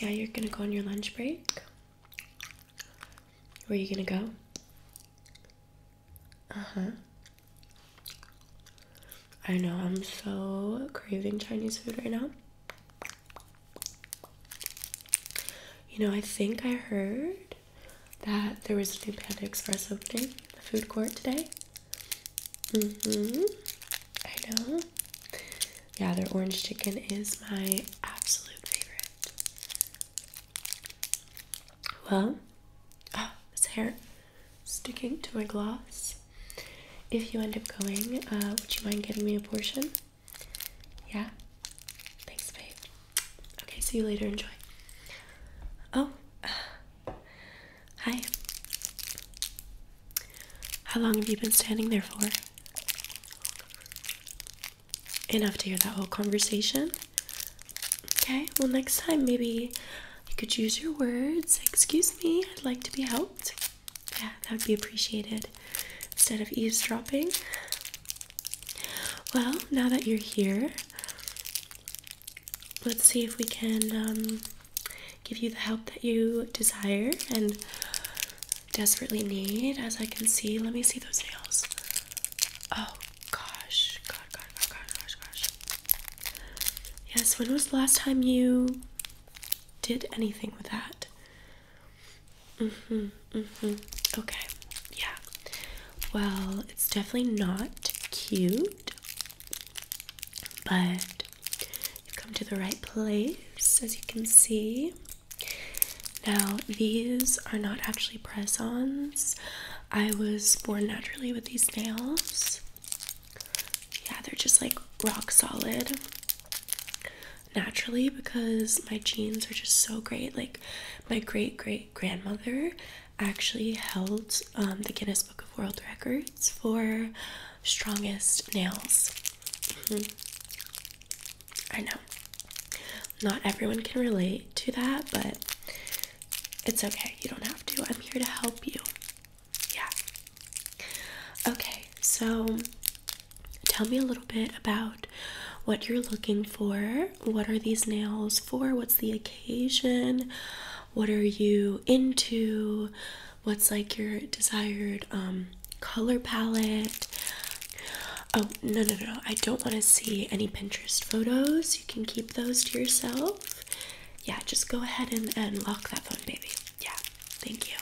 Yeah, you're gonna go on your lunch break. Where are you gonna go? Uh huh. I know, I'm so craving Chinese food right now. You know, I think I heard that there was a new Panda Express opening, the food court today. Mm-hmm. I know. Yeah, their orange chicken is my absolute favorite. Well, oh, this hair sticking to my gloss. If you end up going, uh, would you mind getting me a portion? Yeah? Thanks, babe. Okay, see you later. Enjoy. Oh, Hi. How long have you been standing there for? Enough to hear that whole conversation? Okay, well, next time maybe you could use your words. Excuse me, I'd like to be helped. Yeah, that would be appreciated instead of eavesdropping. Well, now that you're here, let's see if we can um, give you the help that you desire and desperately need. As I can see, let me see those nails. Oh gosh, god, god, god, god, gosh, gosh. Yes, when was the last time you did anything with that? Mm-hmm, mm-hmm. Okay, yeah. Well, it's definitely not cute but you've come to the right place, as you can see. Now, these are not actually press ons. I was born naturally with these nails. Yeah, they're just like rock solid naturally because my genes are just so great. Like, my great great grandmother actually held um, the Guinness Book of World Records for strongest nails. Mm-hmm. I know not everyone can relate to that, but it's okay. You don't have to. I'm here to help you. Yeah. Okay, so tell me a little bit about what you're looking for. What are these nails for? What's the occasion? What are you into? what's like your desired um color palette oh no no no i don't want to see any pinterest photos you can keep those to yourself yeah just go ahead and, and lock that phone baby yeah thank you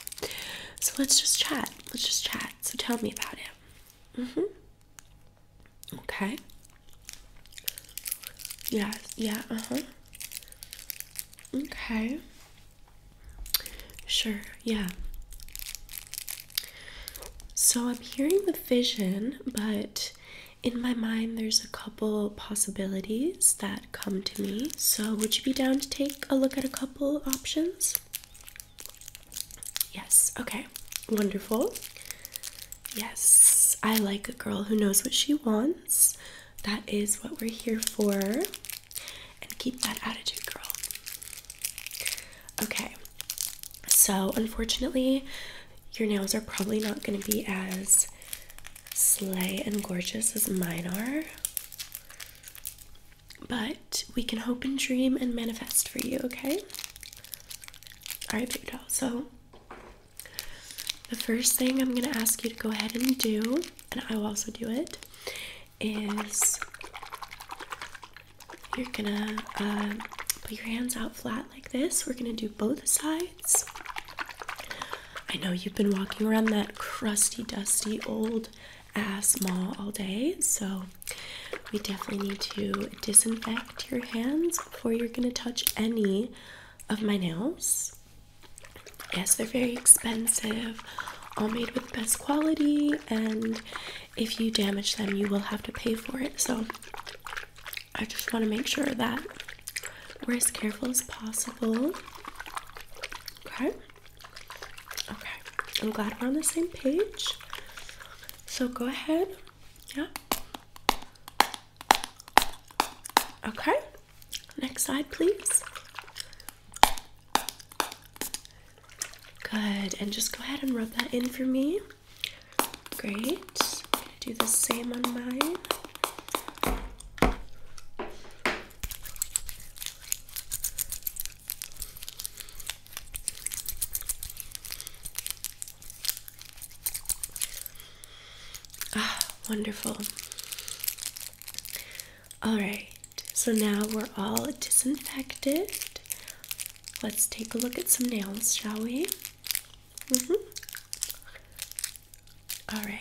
so let's just chat let's just chat so tell me about it mm-hmm okay yeah yeah uh-huh okay Sure, yeah. So I'm hearing the vision, but in my mind, there's a couple possibilities that come to me. So, would you be down to take a look at a couple options? Yes, okay, wonderful. Yes, I like a girl who knows what she wants. That is what we're here for and keep that attitude, girl. Okay, so unfortunately, your nails are probably not going to be as slay and gorgeous as mine are, but we can hope and dream and manifest for you, okay? All right, baby So, the first thing I'm going to ask you to go ahead and do and I will also do it, is you're gonna um, put your hands out flat like this. We're gonna do both sides. I know you've been walking around that crusty, dusty, old ass mall all day, so we definitely need to disinfect your hands before you're gonna touch any of my nails. Yes, they're very expensive, all made with best quality, and if you damage them, you will have to pay for it. So I just want to make sure that we're as careful as possible. Okay. Okay. I'm glad we're on the same page. So go ahead. Yeah. Okay. Next side, please. Good, and just go ahead and rub that in for me. Great. do the same on mine. Ah, wonderful. Alright, so now we're all disinfected. Let's take a look at some nails, shall we? Mm-hmm. Alright.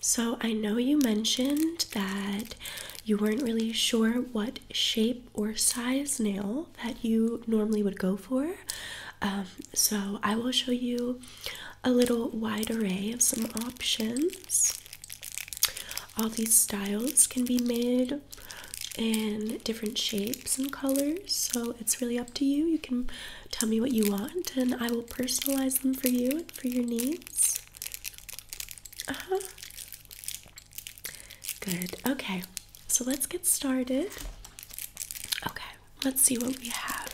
So I know you mentioned that you weren't really sure what shape or size nail that you normally would go for. Um, so, I will show you a little wide array of some options. All these styles can be made in different shapes and colors, so it's really up to you. You can tell me what you want, and I will personalize them for you and for your needs. Uh huh. Good. Okay. So let's get started. Okay, let's see what we have.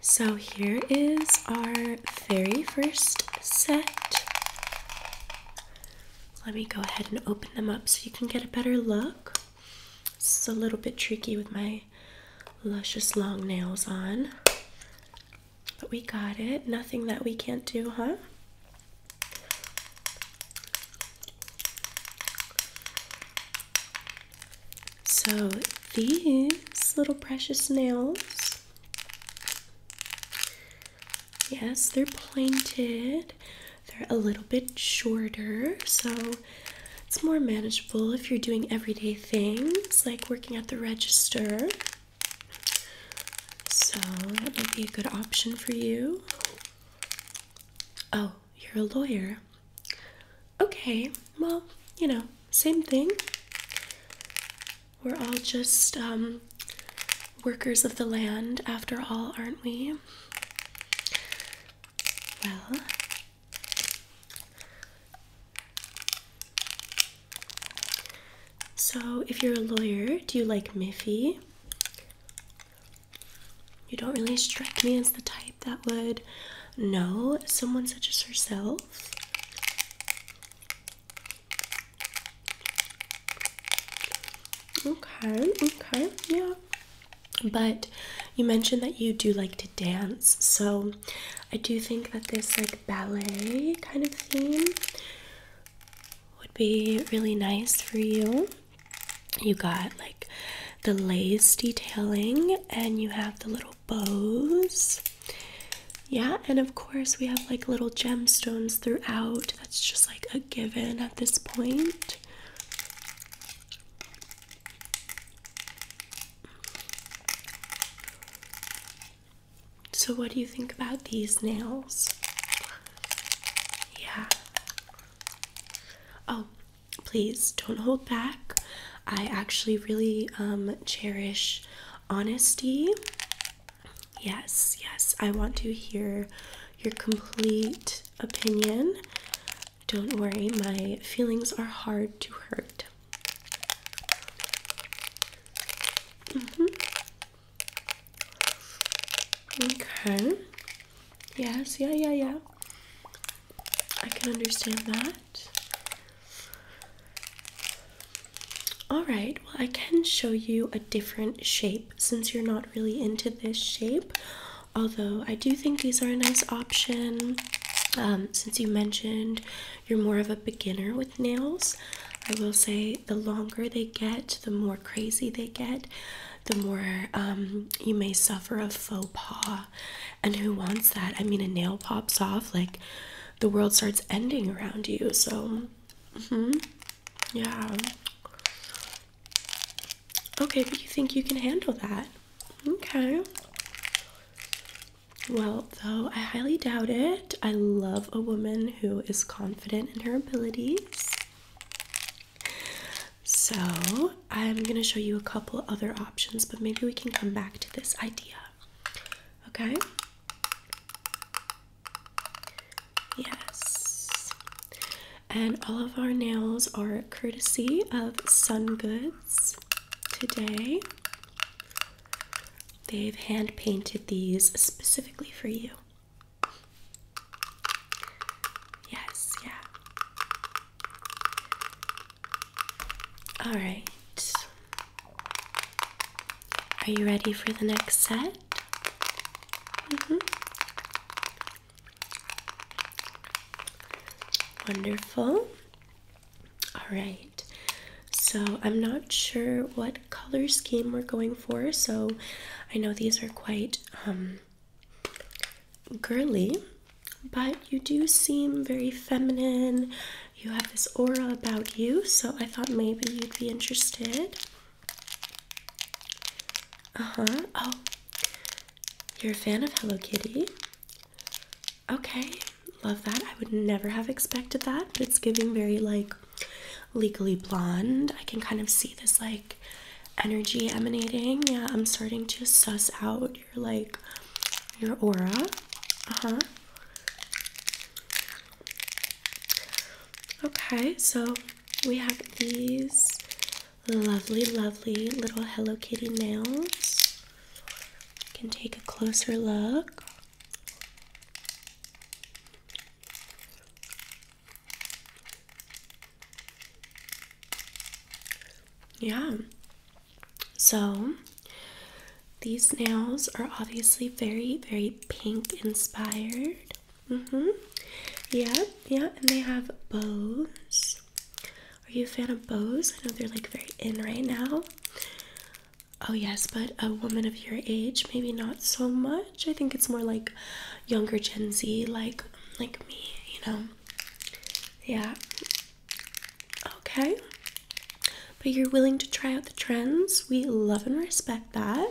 So here is our very first set. Let me go ahead and open them up so you can get a better look. This is a little bit tricky with my luscious long nails on. But we got it. Nothing that we can't do, huh? So these little precious nails, yes, they're pointed. They're a little bit shorter, so it's more manageable if you're doing everyday things like working at the register. So that might be a good option for you. Oh, you're a lawyer. Okay, well, you know, same thing. We're all just um, workers of the land, after all, aren't we? Well, so, if you're a lawyer, do you like Miffy? You don't really strike me as the type that would know someone such as herself. Okay, okay, yeah. But you mentioned that you do like to dance, so I do think that this like ballet kind of theme would be really nice for you. You got like the lace detailing and you have the little bows. Yeah, and of course we have like little gemstones throughout. That's just like a given at this point. So, what do you think about these nails? Yeah. Oh, please don't hold back. I actually really um, cherish honesty. Yes, yes, I want to hear your complete opinion. Don't worry, my feelings are hard to hurt. Mm-hmm. Okay. Yes, yeah, yeah, yeah. I can understand that. Alright, well, I can show you a different shape since you're not really into this shape although I do think these are a nice option. Um, since you mentioned you're more of a beginner with nails, I will say the longer they get, the more crazy they get, the more um, you may suffer a faux pas. And who wants that? I mean, a nail pops off, like the world starts ending around you. So, mm-hmm. yeah. Okay, but you think you can handle that? Okay. Well, though, I highly doubt it. I love a woman who is confident in her abilities. So, I'm going to show you a couple other options, but maybe we can come back to this idea. Okay? Yes and all of our nails are courtesy of Sun Goods today. They've hand painted these specifically for you. Yes, yeah. All right. Are you ready for the next set? Mm -hmm. Wonderful. All right. So I'm not sure what color scheme we're going for. So I know these are quite um, girly, but you do seem very feminine. You have this aura about you, so I thought maybe you'd be interested. Uh huh. Oh, you're a fan of Hello Kitty? Okay, love that. I would never have expected that, but it's giving very like legally blonde. I can kind of see this like energy emanating. Yeah, I'm starting to suss out your like your aura. Uh-huh. Okay, so we have these lovely, lovely little Hello Kitty nails. can take a closer look. Yeah. So these nails are obviously very, very pink inspired. Mm-hmm. Yep, Yep. and they have bows. Are you a fan of bows? I know they're like very in right now. Oh, yes, but a woman of your age, maybe not so much. I think it's more like younger Gen Z, like like me, you know. Yeah. Okay. But you're willing to try out the trends. We love and respect that.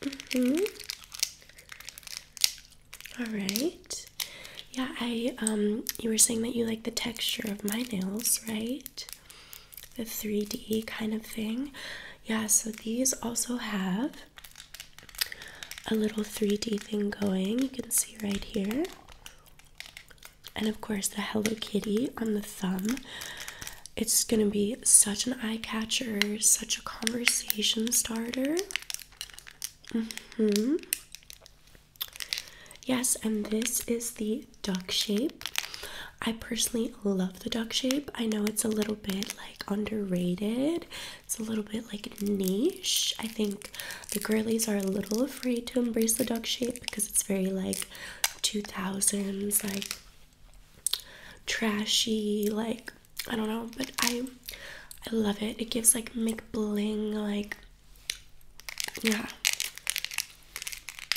Mm hmm all right. Yeah, I um you were saying that you like the texture of my nails, right? The 3D kind of thing. Yeah, so these also have a little 3D thing going. You can see right here. And of course, the Hello Kitty on the thumb. It's going to be such an eye catcher, such a conversation starter hmm Yes, and this is the duck shape. I personally love the duck shape. I know it's a little bit like underrated. It's a little bit like niche. I think the girlies are a little afraid to embrace the duck shape because it's very like 2000s, like trashy, like I don't know, but I I love it. It gives like McBling like yeah.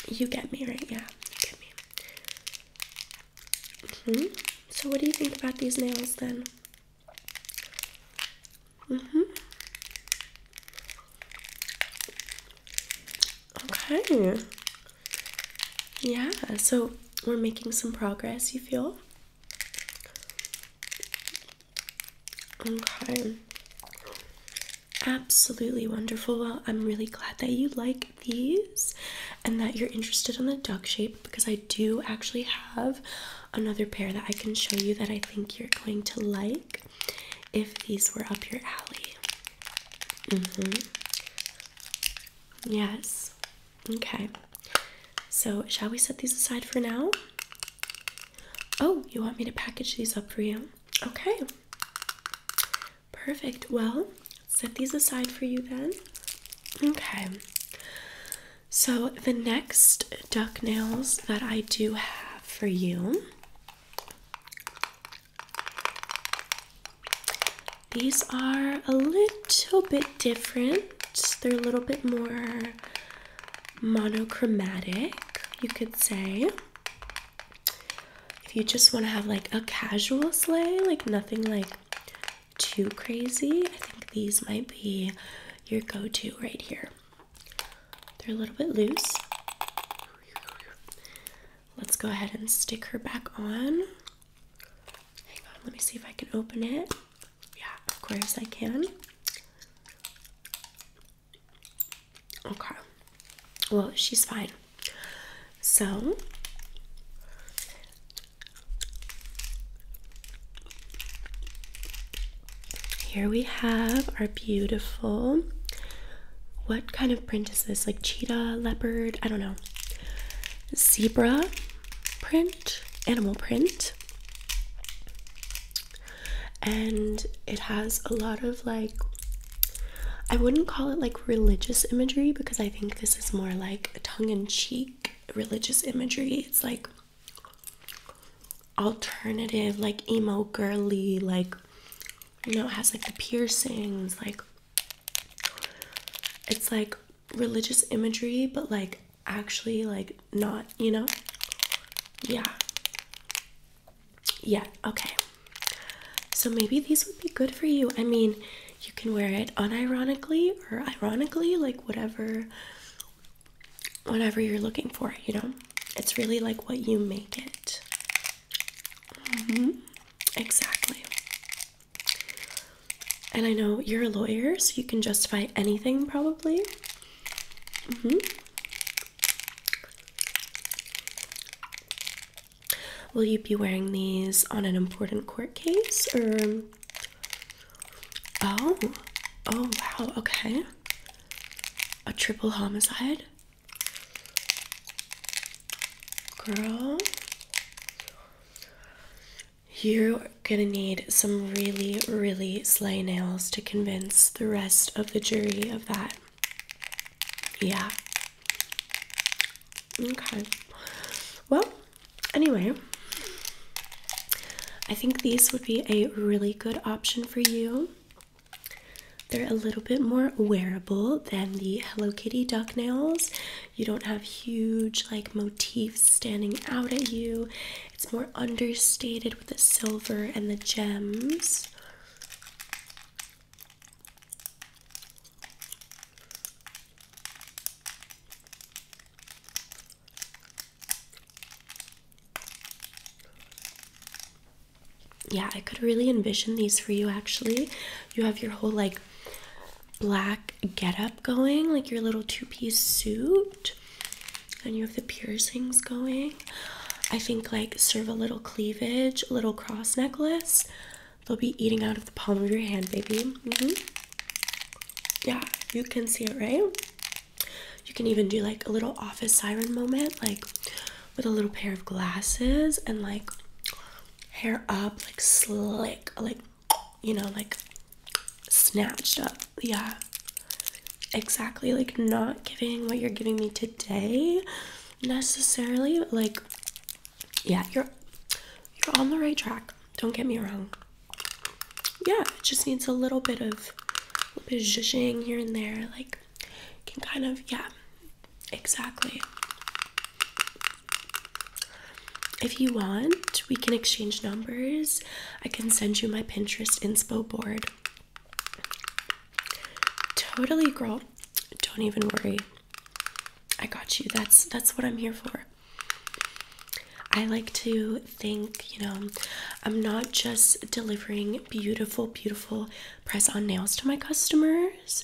You get me, right? Yeah, mm-hmm. So what do you think about these nails then? Mm hmm Okay. Yeah, so we're making some progress, you feel? Okay. Absolutely wonderful. I'm really glad that you like these and that you're interested in the duck shape because I do actually have another pair that I can show you that I think you're going to like if these were up your alley. Mm hmm Yes. Okay, so shall we set these aside for now? Oh, you want me to package these up for you? Okay, perfect. Well, set these aside for you then. Okay, so the next duck nails that I do have for you. These are a little bit different. They're a little bit more monochromatic, you could say. If you just want to have like a casual sleigh, like nothing like too crazy, I think these might be your go to right here. They're a little bit loose. Let's go ahead and stick her back on. Hang on, let me see if I can open it. Yeah, of course I can. Okay. Well, she's fine. So here we have our beautiful. What kind of print is this? Like cheetah, leopard, I don't know. Zebra print, animal print. And it has a lot of like, I wouldn't call it like religious imagery because I think this is more like tongue in cheek religious imagery. It's like alternative, like emo girly, like, you know, it has like the piercings, like, it's like religious imagery, but like actually like not, you know? Yeah. Yeah, okay. So maybe these would be good for you. I mean, you can wear it unironically or ironically, like whatever whatever you're looking for, you know? It's really like what you make it. Mm-hmm. Exactly. And I know you're a lawyer, so you can justify anything probably. Mm-hmm. Will you be wearing these on an important court case or? Oh, oh wow, okay. A triple homicide? Girl. You're gonna need some really, really sleigh nails to convince the rest of the jury of that. Yeah. Okay. Well, anyway, I think these would be a really good option for you. They're a little bit more wearable than the Hello Kitty duck nails. You don't have huge like motifs standing out at you, it's more understated with the silver and the gems. Yeah, I could really envision these for you actually. You have your whole like black getup going, like your little two piece suit and you have the piercings going. I think like serve a little cleavage, a little cross necklace. They'll be eating out of the palm of your hand, baby. Mm -hmm. Yeah, you can see it, right? You can even do like a little office siren moment, like with a little pair of glasses and like hair up, like slick, like you know, like snatched up. Yeah, exactly. Like, not giving what you're giving me today necessarily, like, yeah, you're you're on the right track. Don't get me wrong. Yeah, it just needs a little bit of a little bit of zhuzhing here and there. Like, can kind of yeah, exactly. If you want, we can exchange numbers I can send you my Pinterest inspo board. Totally, girl. Don't even worry. I got you. That's that's what I'm here for. I like to think, you know, I'm not just delivering beautiful, beautiful press on nails to my customers,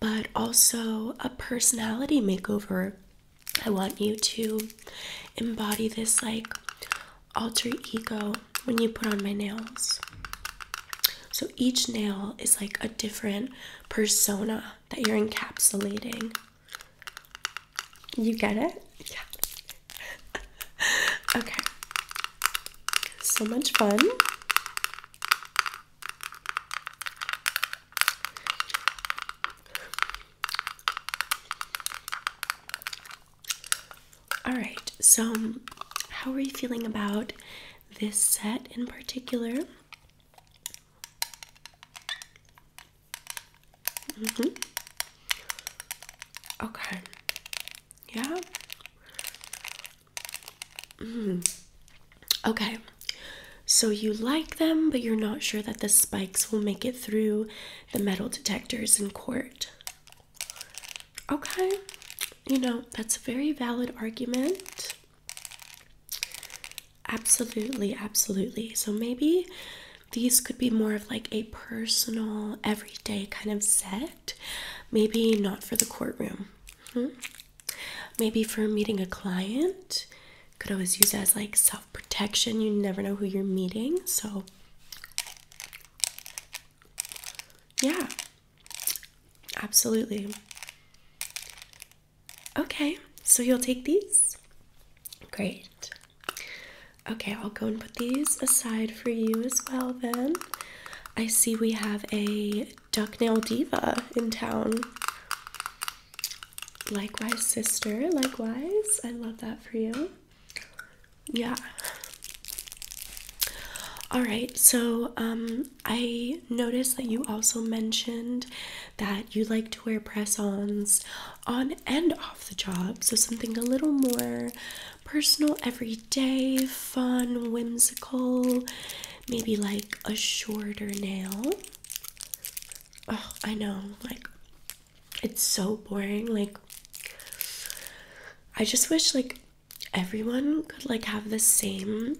but also a personality makeover I want you to embody this like alter ego when you put on my nails. So each nail is like a different persona that you're encapsulating. You get it? Yeah. okay. So much fun. All right, so um, how are you feeling about this set in particular? Mm -hmm. Okay. Yeah. Mm. Okay. So you like them, but you're not sure that the spikes will make it through the metal detectors in court. Okay, you know, that's a very valid argument. Absolutely, absolutely. So maybe these could be more of like a personal, everyday kind of set. Maybe not for the courtroom. Hmm? Maybe for meeting a client. Could always use as like protection. You never know who you're meeting. So, yeah, absolutely. Okay, so you'll take these? Great. Okay, I'll go and put these aside for you as well then. I see we have a duck nail Diva in town. Likewise, sister. Likewise. I love that for you yeah all right so um, i noticed that you also mentioned that you like to wear press-ons on and off the job so something a little more personal everyday fun whimsical maybe like a shorter nail oh i know like it's so boring like i just wish like everyone could like have the same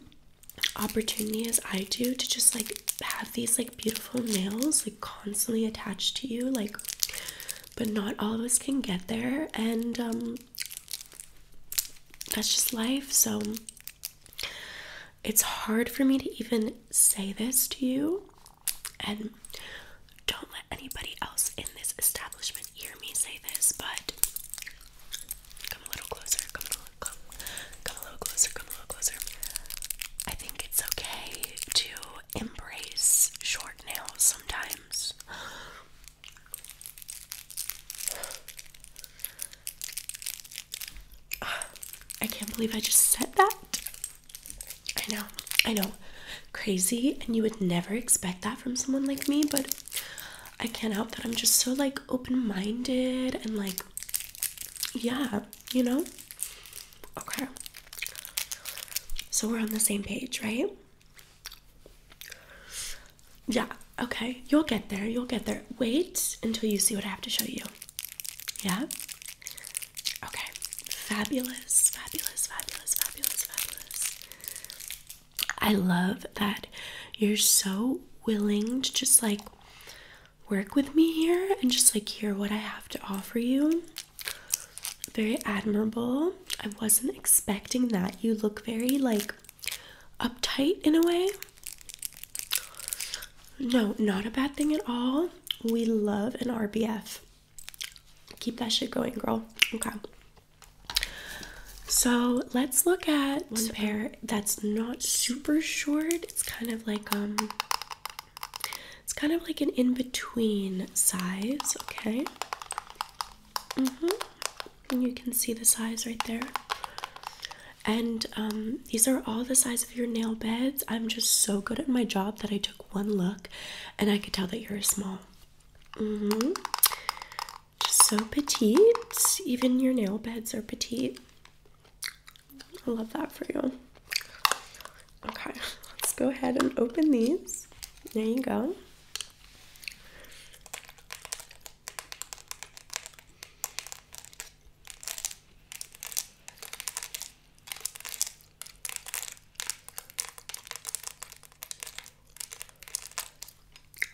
opportunity as i do to just like have these like beautiful nails like constantly attached to you like but not all of us can get there and um that's just life so it's hard for me to even say this to you and don't let anybody else in this establishment hear me say this, but come a little closer, come a little, come, come a little closer, come a little closer. I think it's okay to embrace short nails sometimes. I can't believe I just said that. I know, I know, crazy, and you would never expect that from someone like me, but I can't help that I'm just so like open minded and like, yeah, you know? Okay. So we're on the same page, right? Yeah, okay, you'll get there, you'll get there. Wait until you see what I have to show you. Yeah? Okay, fabulous, fabulous, fabulous, fabulous, fabulous. I love that you're so willing to just like work with me here and just like hear what I have to offer you. Very admirable. I wasn't expecting that. You look very like uptight in a way. No, not a bad thing at all. We love an RBF. Keep that shit going, girl. Okay. So let's look at one pair that's not super short. It's kind of like um it's kind of like an in-between size, okay? hmm you can see the size right there. And um, these are all the sizes your nail beds. I'm just so good at my job that I took one look and I could tell that you're small. Mm hmm so petite. Even your nail beds are petite. I love that for you. Okay, let's go ahead and open these. There you go.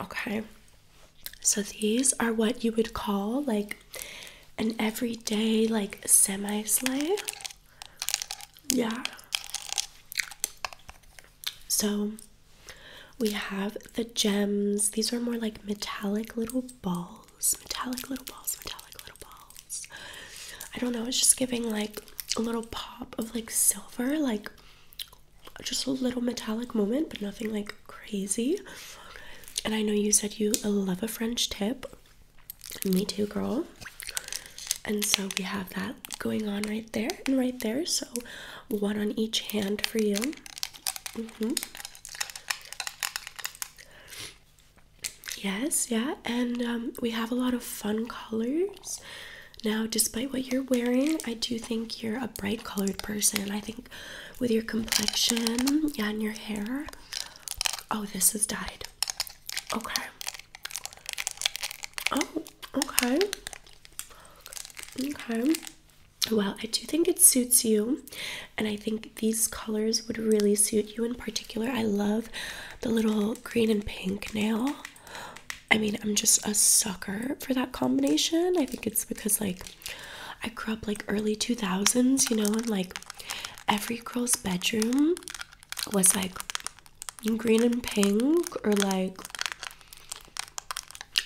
Okay. So these are what you would call like an everyday like semi slay Yeah. So we have the gems. These are more like metallic little balls metallic little balls, metallic little balls. I don't know, it's just giving like a little pop of like silver, like just a little metallic moment, but nothing like crazy. And I know you said you love a French tip. Me too, girl. And so we have that going on right there and right there. So one on each hand for you. -hmm. Yes, yeah, and um, we have a lot of fun colors. Now, despite what you're wearing, I do think you're a bright colored person. I think with your complexion and your hair. Oh, this is dyed. Okay. Oh, okay. Okay. Well, I do think it suits you, and I think these colors would really suit you in particular. I love the little green and pink nail. I mean, I'm just a sucker for that combination. I think it's because, like, I grew up like early 2000s, you know, and like every girl's bedroom was like green and pink or like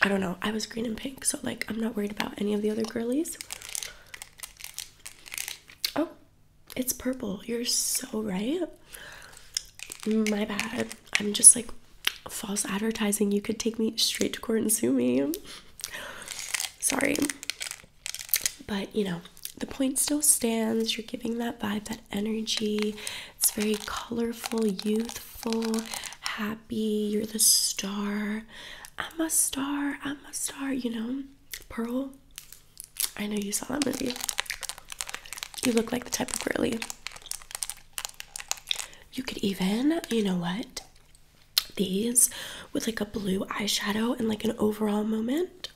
I don't know. I was green and pink, so like I'm not worried about any of the other girlies. Oh, it's purple. You're so right. My bad. I'm just like false advertising. You could take me straight to court and sue me. Sorry. But you know, the point still stands. You're giving that vibe, that energy. It's very colorful, youthful, happy. You're the star. I'm a star. I'm a star, you know. Pearl, I know you saw that movie. You look like the type of girly. You could even, you know what? These with like a blue eyeshadow and like an overall moment.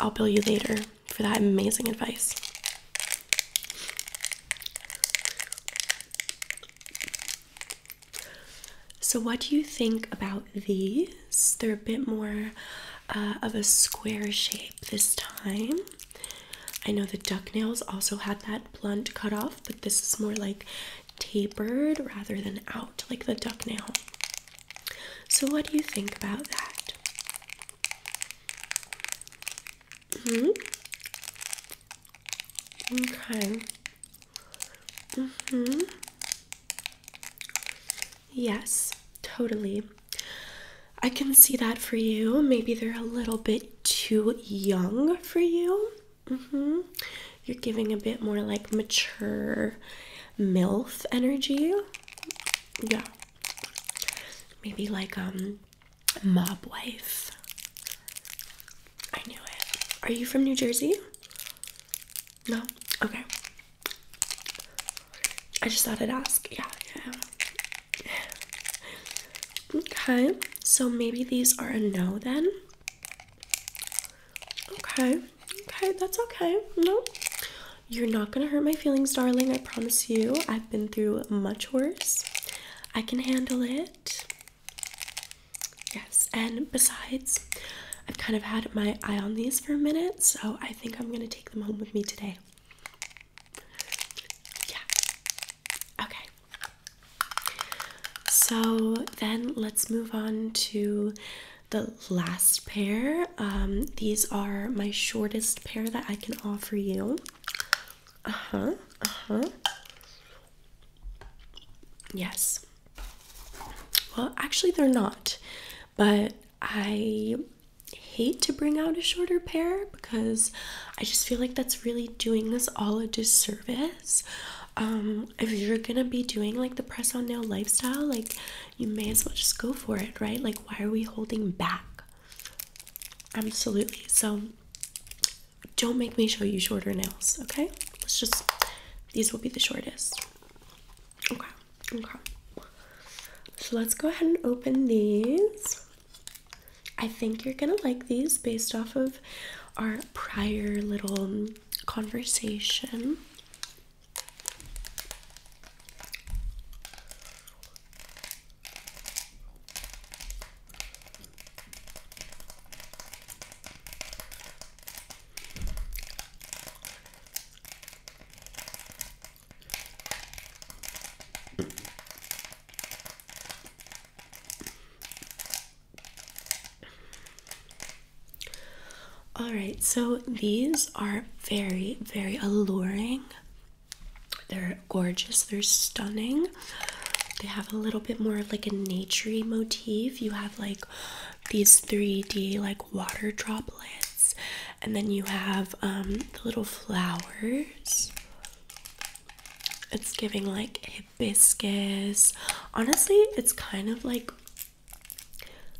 I'll bill you later for that amazing advice. So, what do you think about these? They're a bit more uh, of a square shape this time. I know the duck nails also had that blunt cut off, but this is more like tapered rather than out, like the duck nail. So, what do you think about that? hmm. Okay. Mm hmm. Yes, totally. I can see that for you. Maybe they're a little bit too young for you. Mm -hmm. You're giving a bit more like mature MILF energy. Yeah. Maybe like um mob wife. I knew it. Are you from New Jersey? No? Okay. I just thought I'd ask. Yeah, yeah. Okay, so maybe these are a no then. Okay, okay, that's okay. No, you're not gonna hurt my feelings, darling. I promise you. I've been through much worse. I can handle it. Yes, and besides, I've kind of had my eye on these for a minute, so I think I'm gonna take them home with me today. Yeah. Okay. So then let's move on to the last pair. Um, these are my shortest pair that I can offer you. Uh huh. Uh huh. Yes. Well, actually, they're not, but I hate to bring out a shorter pair because I just feel like that's really doing this all a disservice. Um, if you're gonna be doing like the press on nail lifestyle, like you may as well just go for it, right? Like, why are we holding back? Absolutely. So, don't make me show you shorter nails, okay? let's just these will be the shortest okay okay so let's go ahead and open these i think you're gonna like these based off of our prior little conversation all right, so these are very, very alluring. They're gorgeous, they're stunning. They have a little bit more of like a naturey motif. You have like these 3D like water droplets, and then you have um, the little flowers. It's giving like hibiscus. Honestly, it's kind of like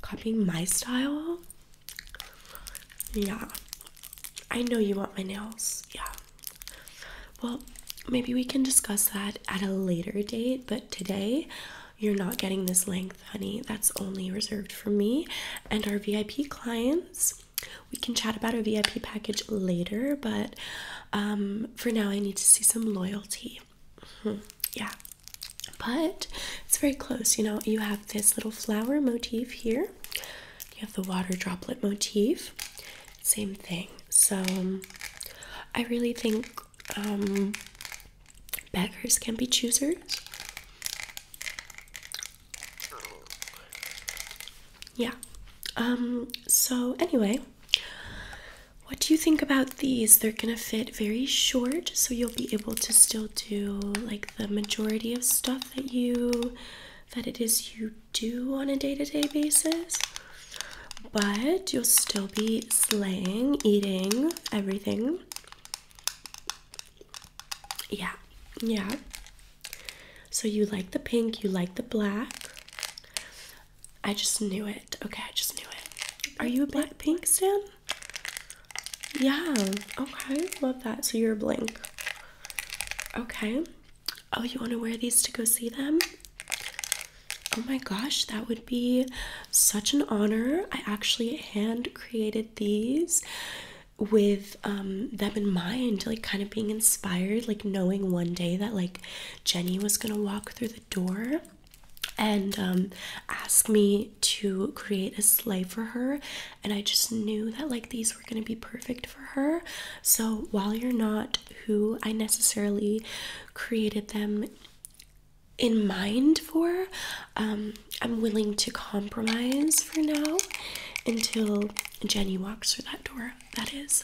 copying my style. Yeah, I know you want my nails. Yeah. Well, maybe we can discuss that at a later date, but today you're not getting this length, honey. That's only reserved for me and our VIP clients. We can chat about our VIP package later, but um, for now, I need to see some loyalty. Hmm, yeah, but it's very close. You know, you have this little flower motif here, you have the water droplet motif, same thing. So, um, I really think um, beggars can be choosers. Yeah. Um, so, anyway, what do you think about these? They're gonna fit very short, so you'll be able to still do like the majority of stuff that you that it is you do on a day to -day basis but you'll still be slaying, eating everything. Yeah, yeah. So you like the pink, you like the black. I just knew it. Okay, I just knew it. Are you a black pink stan? Yeah, okay, love that. So you're a blank. Okay. Oh, you want to wear these to go see them? Oh my gosh, that would be such an honor. I actually hand created these with um, them in mind, like kind of being inspired, like knowing one day that like Jenny was gonna walk through the door and um, ask me to create a sleigh for her. And I just knew that like these were gonna be perfect for her. So while you're not who I necessarily created them in mind for. Um, I'm willing to compromise for now until Jenny walks through that door. That is.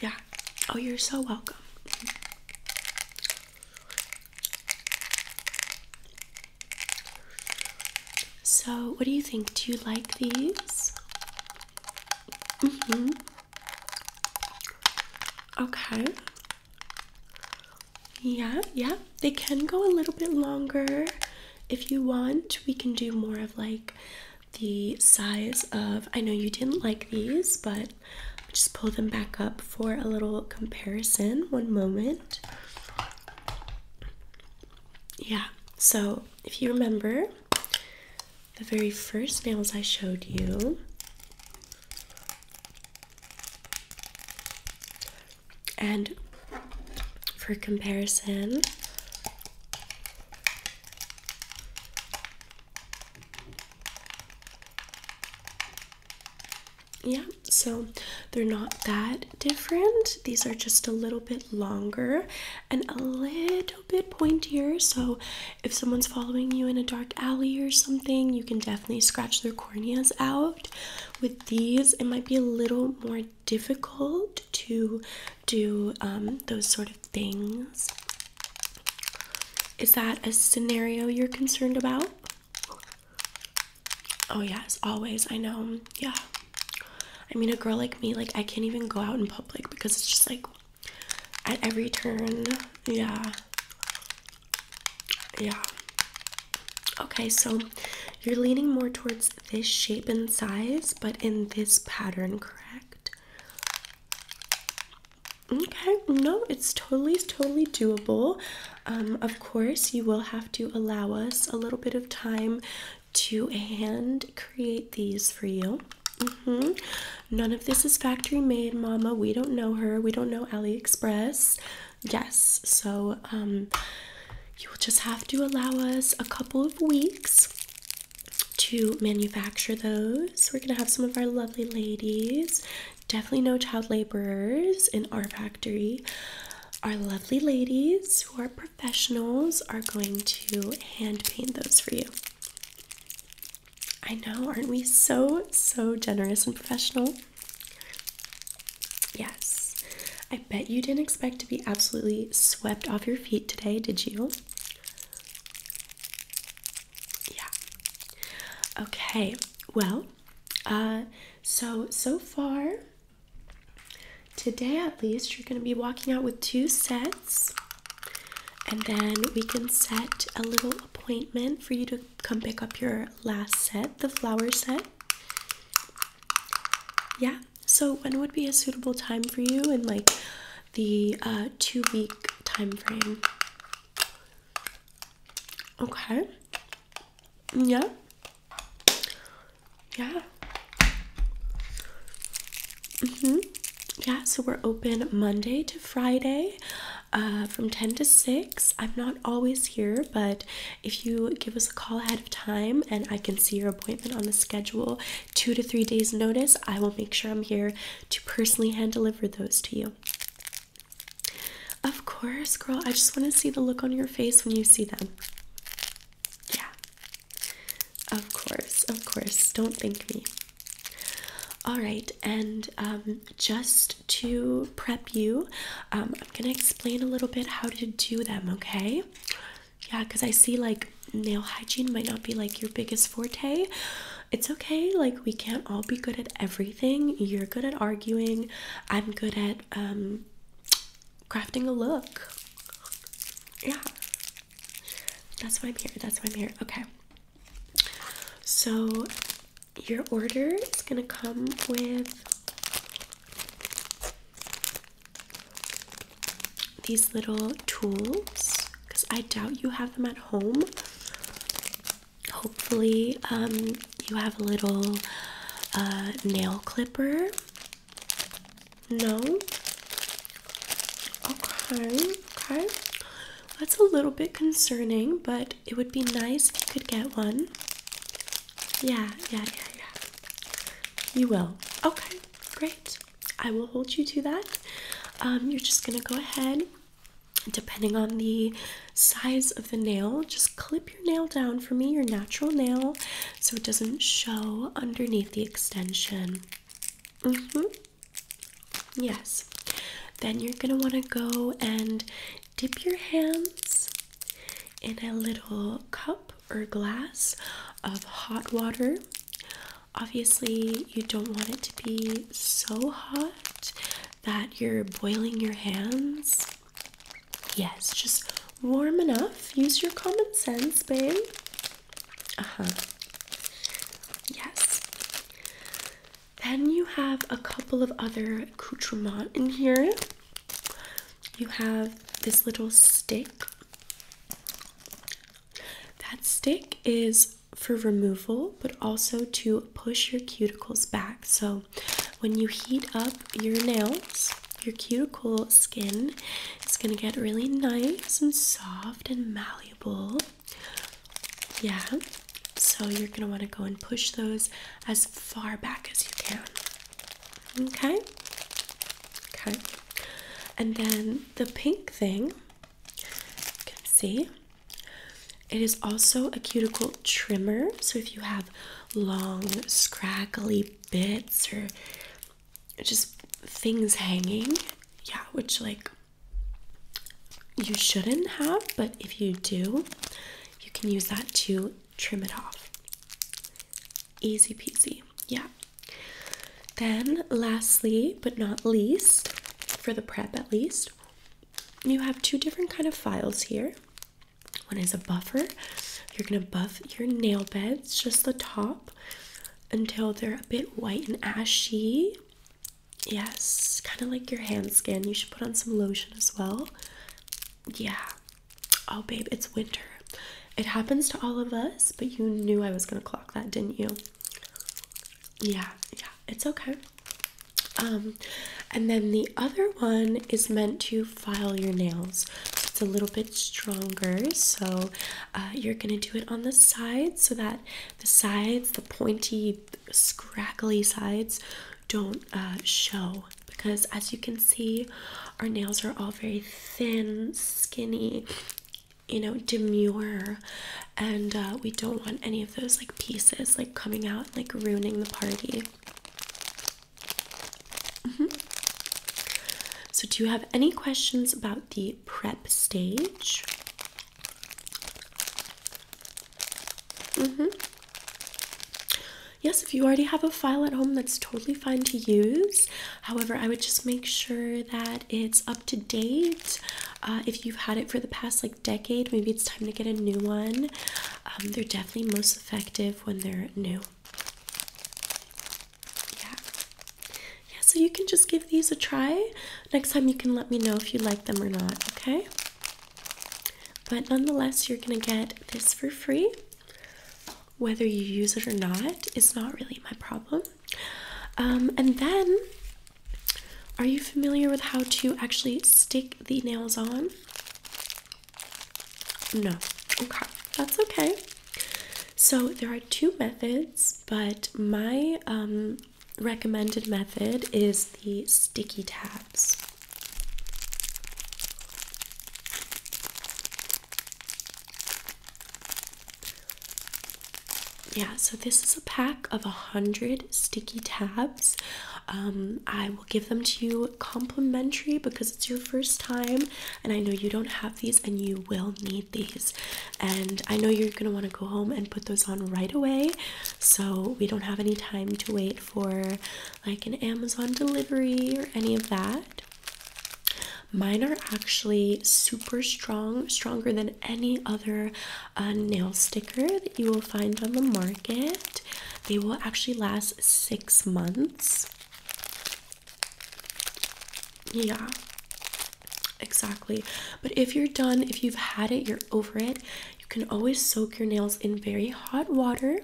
Yeah. Oh, you're so welcome. So, what do you think? Do you like these? Mm-hmm. Okay. Yeah, yeah. They can go a little bit longer if you want. We can do more of like the size of. I know you didn't like these, but just pull them back up for a little comparison. One moment. Yeah, so if you remember the very first nails I showed you, and for comparison, yeah, so they're not that different. These are just a little bit longer and a little bit pointier. So if someone's following you in a dark alley or something, you can definitely scratch their corneas out. With these, it might be a little more difficult to do um, those sort of things. Is that a scenario you're concerned about? Oh, yes, always. I know. Yeah. I mean, a girl like me, like, I can't even go out in public because it's just like at every turn. Yeah. Yeah. Okay, so you're leaning more towards this shape and size, but in this pattern, correct? Okay, no, it's totally, totally doable. Um, of course, you will have to allow us a little bit of time to hand create these for you. Mm-hmm. None of this is factory made, Mama. We don't know her. We don't know AliExpress. Yes. So um, you will just have to allow us a couple of weeks to manufacture those. We're gonna have some of our lovely ladies. Definitely no child laborers in our factory. Our lovely ladies who are professionals are going to hand paint those for you. I know, aren't we so, so generous and professional? Yes. I bet you didn't expect to be absolutely swept off your feet today, did you? Yeah. Okay, well, uh, so, so far, today at least, you're going to be walking out with two sets and then we can set a little appointment for you to come pick up your last set, the flower set. Yeah, so when would be a suitable time for you in like the uh, two week time frame? Okay. Yeah. Yeah. Mm-hmm yeah, so we're open Monday to Friday uh, from 10 to 6. I'm not always here, but if you give us a call ahead of time and I can see your appointment on the schedule, two to three days' notice, I will make sure I'm here to personally hand deliver those to you. Of course, girl, I just want to see the look on your face when you see them. Yeah. Of course, of course. Don't thank me. All right, and um, just to prep you, um, I'm gonna explain a little bit how to do them, okay? Yeah, because I see like nail hygiene might not be like your biggest forte. It's okay, like, we can't all be good at everything. You're good at arguing, I'm good at um, crafting a look. Yeah, that's why I'm here. That's why I'm here. Okay, so, your order is going to come with these little tools because I doubt you have them at home. Hopefully, um, you have a little uh, nail clipper. No? Okay, okay. That's a little bit concerning, but it would be nice if you could get one. Yeah, yeah, yeah, yeah. You will. Okay, great. I will hold you to that. Um, you're just gonna go ahead, depending on the size of the nail, just clip your nail down for me, your natural nail, so it doesn't show underneath the extension. -hmm. Yes. Then you're going to want to go and dip your hands in a little cup or glass of hot water. Obviously, you don't want it to be so hot that you're boiling your hands. Yes, just warm enough. Use your common sense, babe. Uh huh. Yes. Then you have a couple of other accoutrements in here. You have this little stick. That stick is for removal, but also to push your cuticles back. So when you heat up your nails, your cuticle skin is going to get really nice and soft and malleable. Yeah, so you're going to want to go and push those as far back as you can. Okay? Okay. And then the pink thing, you can see, it is also a cuticle trimmer. So if you have long, scraggly bits or just things hanging, yeah, which like you shouldn't have, but if you do, you can use that to trim it off. Easy peasy, yeah. Then, lastly but not least, for the prep at least, you have two different kind of files here. One is a buffer. You're gonna buff your nail beds, just the top, until they're a bit white and ashy. Yes, kind of like your hand skin. You should put on some lotion as well. Yeah. Oh, babe, it's winter. It happens to all of us, but you knew I was going to clock that, didn't you? Yeah, yeah, it's okay. Um, and then the other one is meant to file your nails. it's a little bit stronger. So uh, you're going to do it on the sides so that the sides, the pointy scraggly sides don't uh, show because as you can see our nails are all very thin skinny you know demure and uh, we don't want any of those like pieces like coming out like ruining the party mm-hmm. so do you have any questions about the prep stage Mm-hmm. Yes, if you already have a file at home, that's totally fine to use. However, I would just make sure that it's up to date. Uh, if you've had it for the past like decade, maybe it's time to get a new one. Um, they're definitely most effective when they're new. Yeah. Yeah, so you can just give these a try. Next time you can let me know if you like them or not, okay? But nonetheless, you're gonna get this for free. Whether you use it or not is not really my problem. Um, and then, are you familiar with how to actually stick the nails on? No. Okay, that's okay. So there are two methods, but my um, recommended method is the sticky tabs. Yeah, so this is a pack of a hundred sticky tabs. Um, I will give them to you complimentary because it's your first time, and I know you don't have these, and you will need these. And I know you're gonna want to go home and put those on right away so we don't have any time to wait for like an Amazon delivery or any of that. Mine are actually super strong, stronger than any other uh, nail sticker that you will find on the market. They will actually last six months. Yeah, exactly. But if you're done, if you've had it, you're over it, you can always soak your nails in very hot water.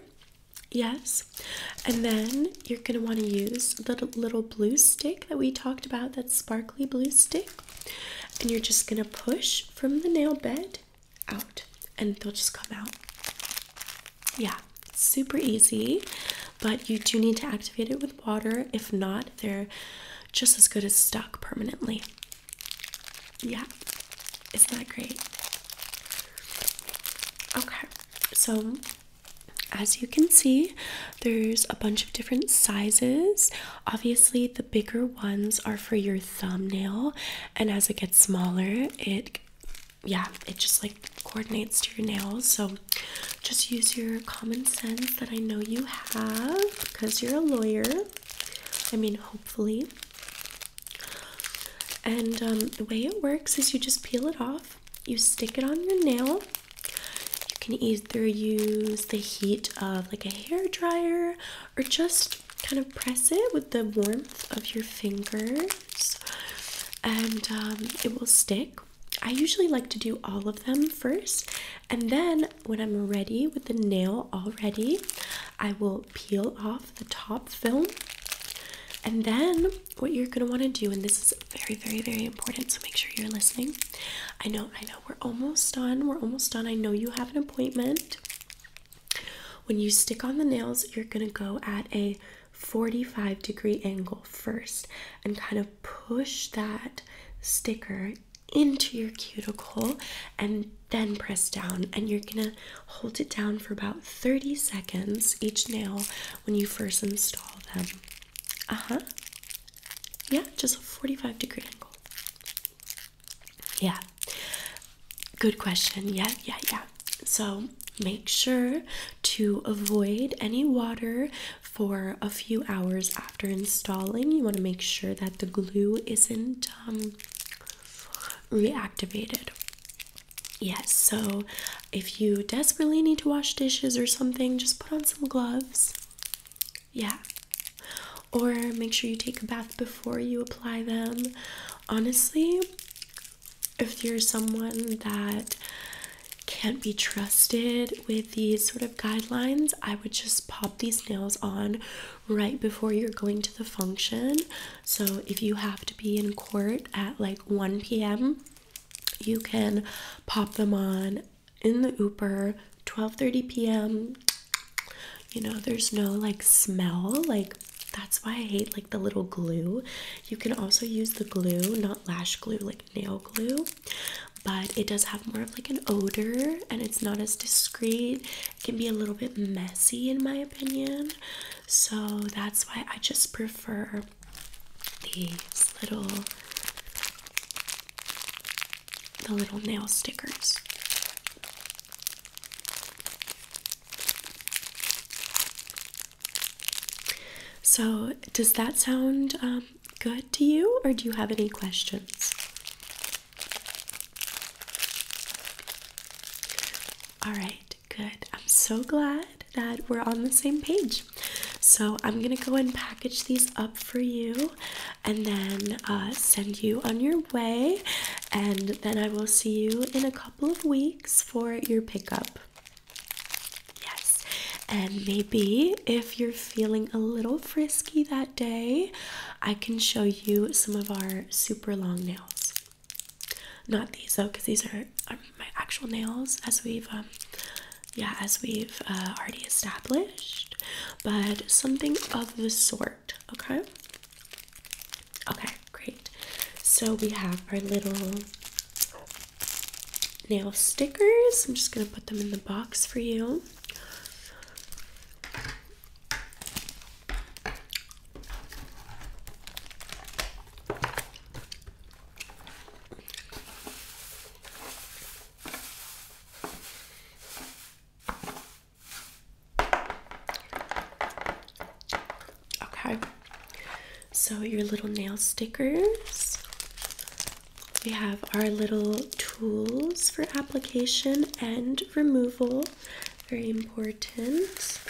Yes. And then you're going to want to use the little blue stick that we talked about, that sparkly blue stick. And you're just going to push from the nail bed out and they'll just come out. Yeah, super easy, but you do need to activate it with water. If not, they're just as good as stuck permanently. Yeah, isn't that great? Okay, so as you can see, there's a bunch of different sizes. Obviously, the bigger ones are for your thumbnail, and as it gets smaller, it yeah, it just like coordinates to your nails. So just use your common sense that I know you have because you're a lawyer. I mean, hopefully. And um, the way it works is you just peel it off, you stick it on your nail. You can either use the heat of like a hair dryer or just kind of press it with the warmth of your fingers, and um, it will stick. I usually like to do all of them first, and then when I'm ready with the nail already, I will peel off the top film. And then what you're going to want to do, and this is very, very, very important, so make sure you're listening. I know, I know, we're almost done. We're almost done. I know you have an appointment. When you stick on the nails, you're going to go at a 45 degree angle first and kind of push that sticker into your cuticle and then press down and you're going to hold it down for about 30 seconds each nail when you first install them. Uh-huh. Yeah, just a 45 degree angle. Yeah. Good question. Yeah, yeah, yeah. So, make sure to avoid any water for a few hours after after installing you want to make sure that the glue isn't um, reactivated yes so if you desperately need to wash dishes or something just put on some gloves yeah or make sure you take a bath before you apply them honestly if you're someone that can't be trusted with these sort of guidelines, I would just pop these nails on right before you're going to the function. So if you have to be in court at like 1 p.m., you can pop them on in the Uber 12:30 p.m. You know, there's no like smell, like that's why I hate like the little glue. You can also use the glue, not lash glue, like nail glue, but it does have more of like an odor and it's not as discreet. It can be a little bit messy, in my opinion. So that's why I just prefer these little the little nail stickers. So, does that sound um, good to you, or do you have any questions? All right, good. I'm so glad that we're on the same page. So I'm gonna go and package these up for you and then uh, send you on your way. And then I will see you in a couple of weeks for your pickup. Yes, and maybe if you're feeling a little frisky that day, I can show you some of our super long nails. Not these though, because these are, my actual nails, as we've um, yeah, as we've uh, already established. But something of the sort. Okay. Okay, great. So we have our little nail stickers. I'm just gonna put them in the box for you. Okay, so your little nail stickers. We have our little tools for application and removal, very important.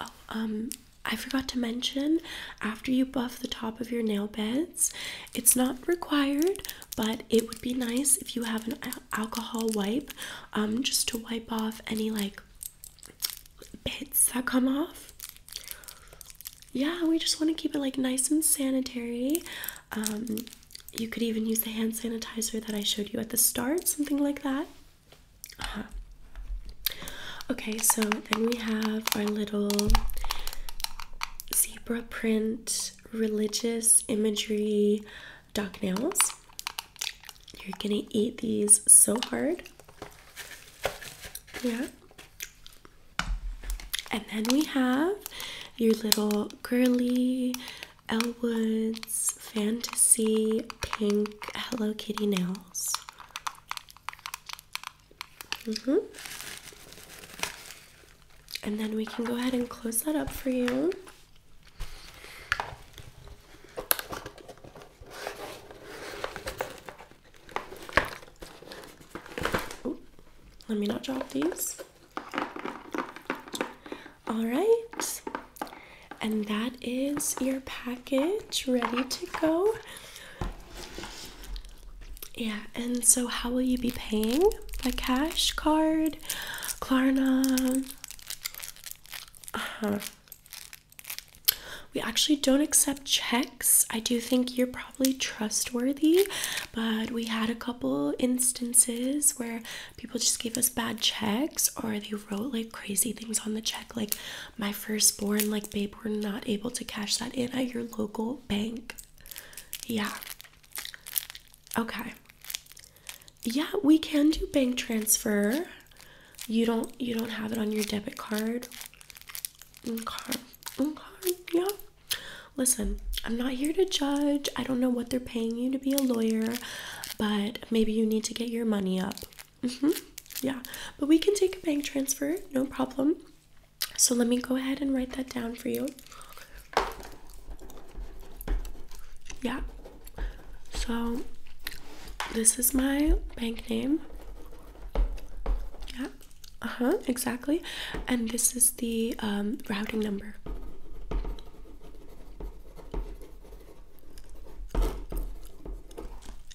Oh, um, I forgot to mention after you buff the top of your nail beds, it's not required, but it would be nice if you have an alcohol wipe um, just to wipe off any like bits that come off. Yeah, we just want to keep it like nice and sanitary. Um, you could even use the hand sanitizer that I showed you at the start, something like that. Uh-huh. Okay, so then we have our little zebra print religious imagery duck nails. You're gonna eat these so hard. Yeah. And then we have your little girly, Elwood's, fantasy, pink, Hello Kitty nails. -hmm. And then we can go ahead and close that up for you. let me not drop these. All right, and that is your package ready to go. Yeah, and so how will you be paying? By cash, card, Klarna? Uh huh. We actually don't accept checks. I do think you're probably trustworthy, but we had a call couple instances where people just gave us bad checks or they wrote like crazy things on the check, like my firstborn, like babe, we're not able to cash that in at your local bank. Yeah. Okay. Yeah, we can do bank transfer. You don't you don't have it on your debit card. Okay. Okay. Yeah. Listen, I'm not here to judge. I don't know what they're paying you to be a lawyer, but maybe you need to get your money up. Mm-hmm. Yeah, but we can take a bank transfer, no problem. So let me go ahead and write that down for you. Yeah, so this is my bank name. Yeah, uh huh, exactly. And this is the um, routing number.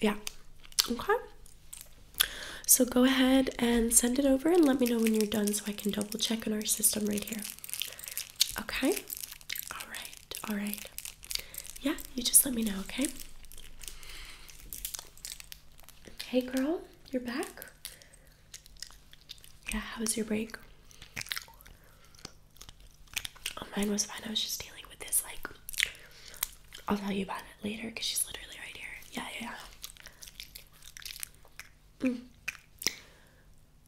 Yeah. Okay. So go ahead and send it over and let me know when you're done so I can double check in our system right here. Okay? All right. All right. Yeah, you just let me know, okay? Hey girl, you're back. Yeah, how was your break? Oh, mine was fine. I was just dealing with this, like, I'll tell you about it later because she's literally right here. Yeah, yeah, mm.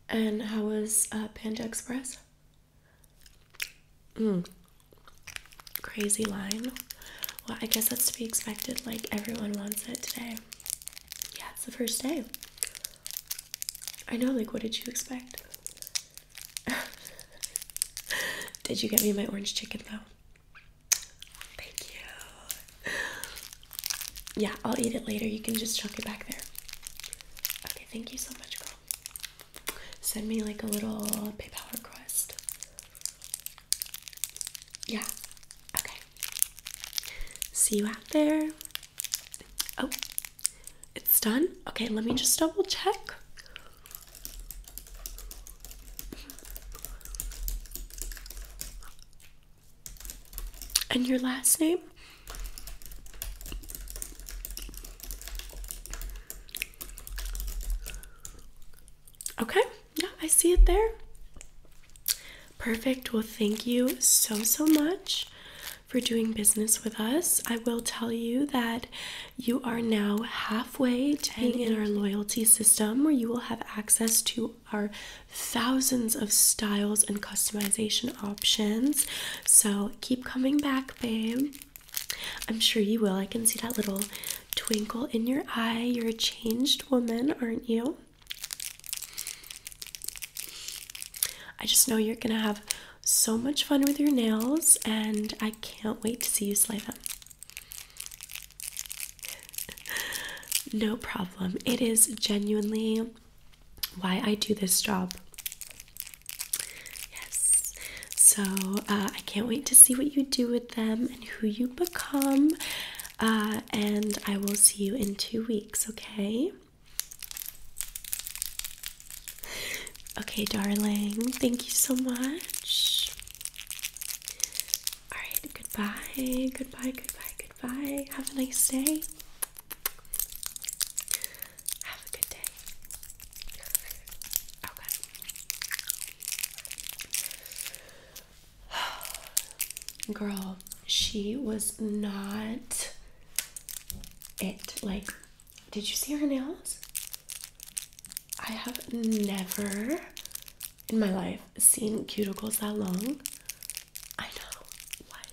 And how was uh, Panda Express? Mm. Crazy line. Well, I guess that's to be expected. Like, everyone wants it today yeah, it's the first day. I know, like, what did you expect? did you get me my orange chicken though? Thank you. Yeah, I'll eat it later. You can just chuck it back there. Okay, thank you so much, girl. Send me like a little PayPal request. Yeah. Okay. See you out there. Oh, it's done. Okay, let me just double check. And your last name? Okay, yeah, I see it there. Perfect. Well, thank you so, so much for doing business with us. I will tell you that you are now halfway to being in our loyalty system where you will have access to our thousands of styles and customization options. So keep coming back, babe. I'm sure you will. I can see that little twinkle in your eye. You're a changed woman, aren't you? I just know you're gonna have so much fun with your nails, and I can't wait to see you slay them. no problem. It is genuinely why I do this job. Yes. So uh, I can't wait to see what you do with them and who you become. Uh, and I will see you in two weeks, okay? Okay, darling, thank you so much. All right, goodbye, goodbye, goodbye, goodbye. Have a nice day. Have a good day. Okay. girl, she was not it. Like, did you see her nails? I have never in my life seen cuticles that long. I know. What?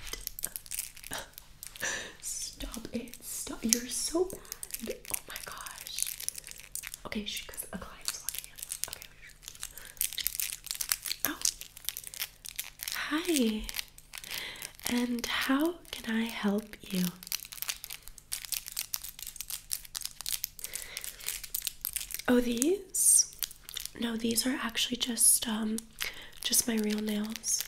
Stop it. Stop. You're so bad. Oh my gosh. Okay, because a client's walking in. Okay. Oh. Hi, and how can I help you? Oh, these? No, these are actually just um just my real nails.